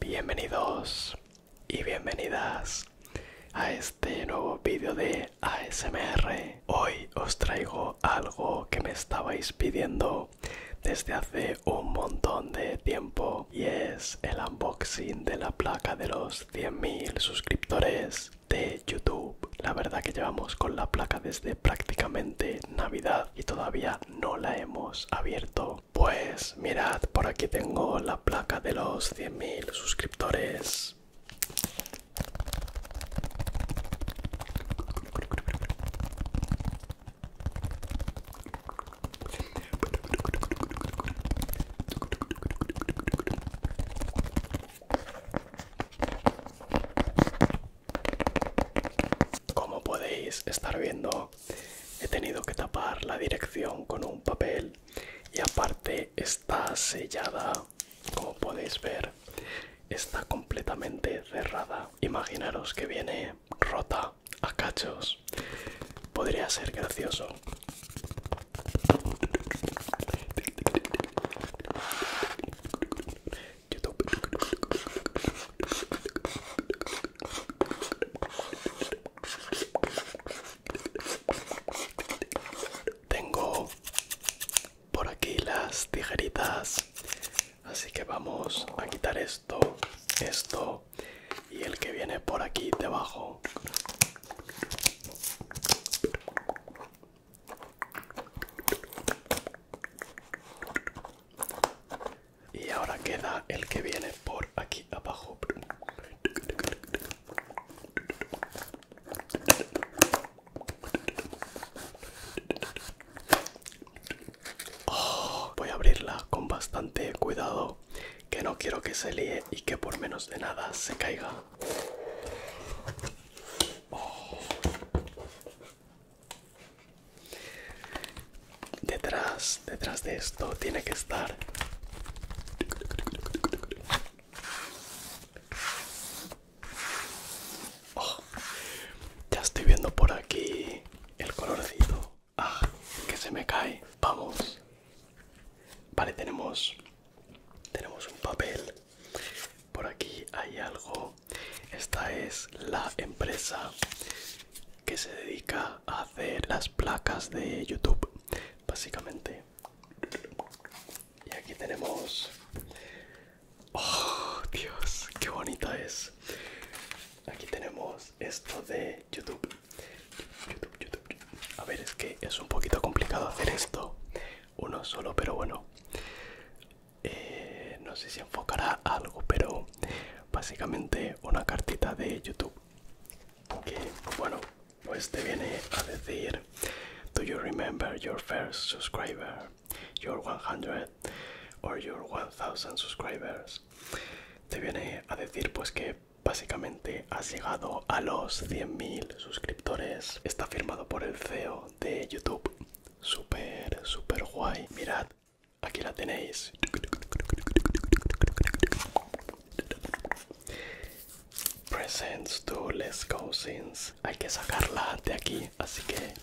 Bienvenidos y bienvenidas a este nuevo vídeo de ASMR. Hoy os traigo algo que me estabais pidiendo desde hace un montón de tiempo y es el unboxing de la placa de los 100.000 suscriptores de YouTube. La verdad que llevamos con la placa desde prácticamente Navidad y todavía no la hemos abierto. Pues mirad, por aquí tengo la placa de los 100.000 suscriptores. Como podéis estar viendo, he tenido que tapar la dirección con un papel y aparte está sellada, como podéis ver, está completamente cerrada. Imaginaros que viene rota a cachos. Podría ser gracioso. Tengo por aquí las tijeritas, así que vamos a quitar esto, esto y el que viene por aquí debajo. Y ahora queda el que viene por aquí abajo. Oh, voy a abrirla con bastante cuidado, que no quiero que se líe y que por menos de nada se caiga. Detrás, detrás de esto tiene que estar oh, Ya estoy viendo por aquí el colorcito. Ah, que se me cae. Vamos. Vale, tenemos tenemos un papel por aquí hay algo. Esta es la empresa que se dedica a hacer las placas de YouTube, básicamente. Y aquí tenemos... ¡Oh, Dios! ¡Qué bonita es! Aquí tenemos esto de YouTube. YouTube. A ver, es que es un poquito complicado hacer esto uno solo, pero bueno, eh, no sé si enfocará algo, pero básicamente una cartita de YouTube que, bueno, pues te viene a decir: Do you remember your first subscriber, your 100 or your 1000 subscribers? Te viene a decir, pues que básicamente ha llegado a los 100.000 suscriptores. Está firmado por el CEO de YouTube. super super guay. Mirad, aquí la tenéis. Presents to let's go sins Hay que sacarla de aquí, así que...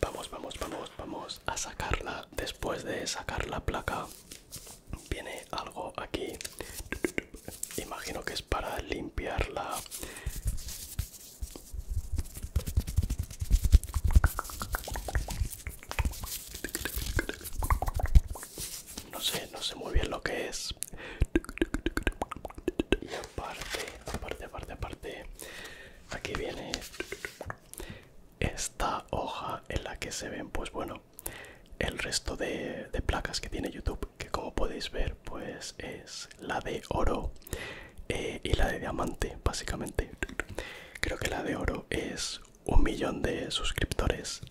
Vamos, vamos, vamos, vamos a sacarla. Después de sacar la placa, viene algo aquí imagino que es para limpiarla no sé no sé muy bien lo que es aparte aparte aparte aparte aquí viene esta hoja en la que se ven pues bueno el resto de, placas que tiene youtube que como podéis ver pues es la de oro eh, y la de diamante básicamente creo que la de oro es un millón de suscriptores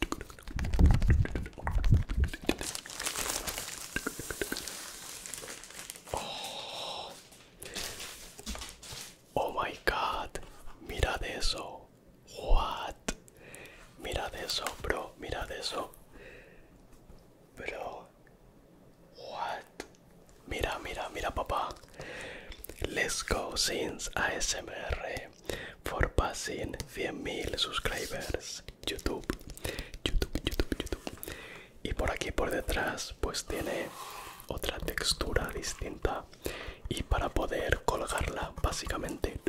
Oh my god, mirad eso. What? Mira eso, bro, mirad eso. Bro. What? Mira, mira, mira, papá. Let's go since ASMR for passing 100.000 subscribers. YouTube, YouTube, YouTube, YouTube. Y por aquí por detrás pues tiene otra textura distinta y para poder colgarla básicamente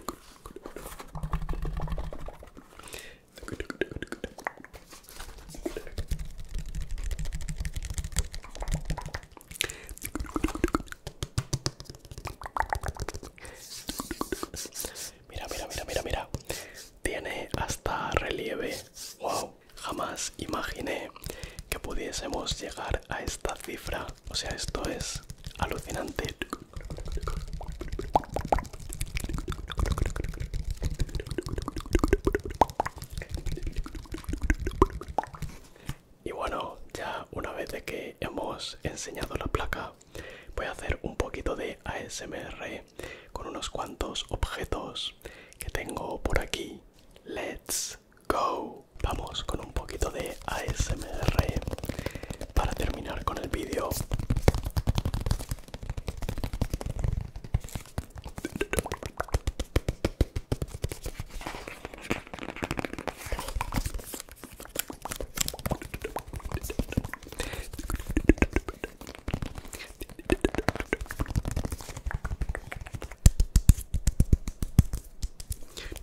Mira, mira, mira, mira, mira. Tiene hasta relieve. Wow, jamás imaginé que pudiésemos llegar a esta cifra. O sea, esto es alucinante. Y bueno, ya una vez de que hemos enseñado la placa, voy a hacer un poquito de ASMR con unos cuantos objetos que tengo por aquí. Let's go. Vamos con un poquito de ASMR para terminar con el vídeo.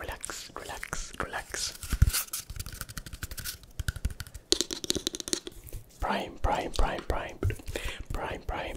Relax, relax, relax. Prime, prime, prime, prime, prime, prime.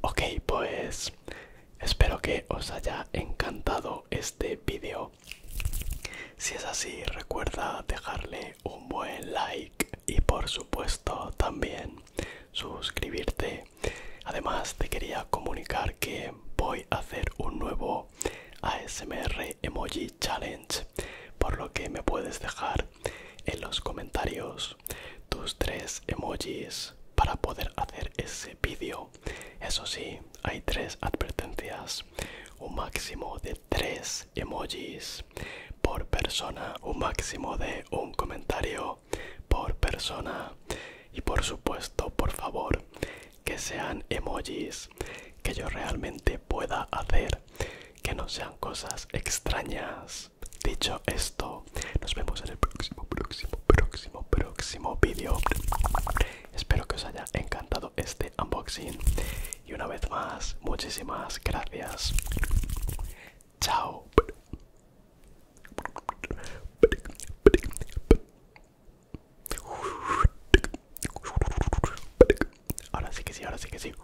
Ok, pues espero que os haya encantado este vídeo. Si es así, recuerda dejarle un buen like y por supuesto también suscribirte. Además, te quería comunicar que voy a hacer un nuevo ASMR Emoji Challenge, por lo que me puedes dejar en los comentarios tus tres emojis para poder hacer ese vídeo. Eso sí, hay tres advertencias. Un máximo de tres emojis por persona. Un máximo de un comentario por persona. Y por supuesto, por favor, que sean emojis que yo realmente pueda hacer. Que no sean cosas extrañas Dicho esto, nos vemos en el próximo, próximo, próximo, próximo vídeo. Espero que os haya encantado este unboxing. Y una vez más, muchísimas gracias. Chao. Ahora sí que sí, ahora sí que sí.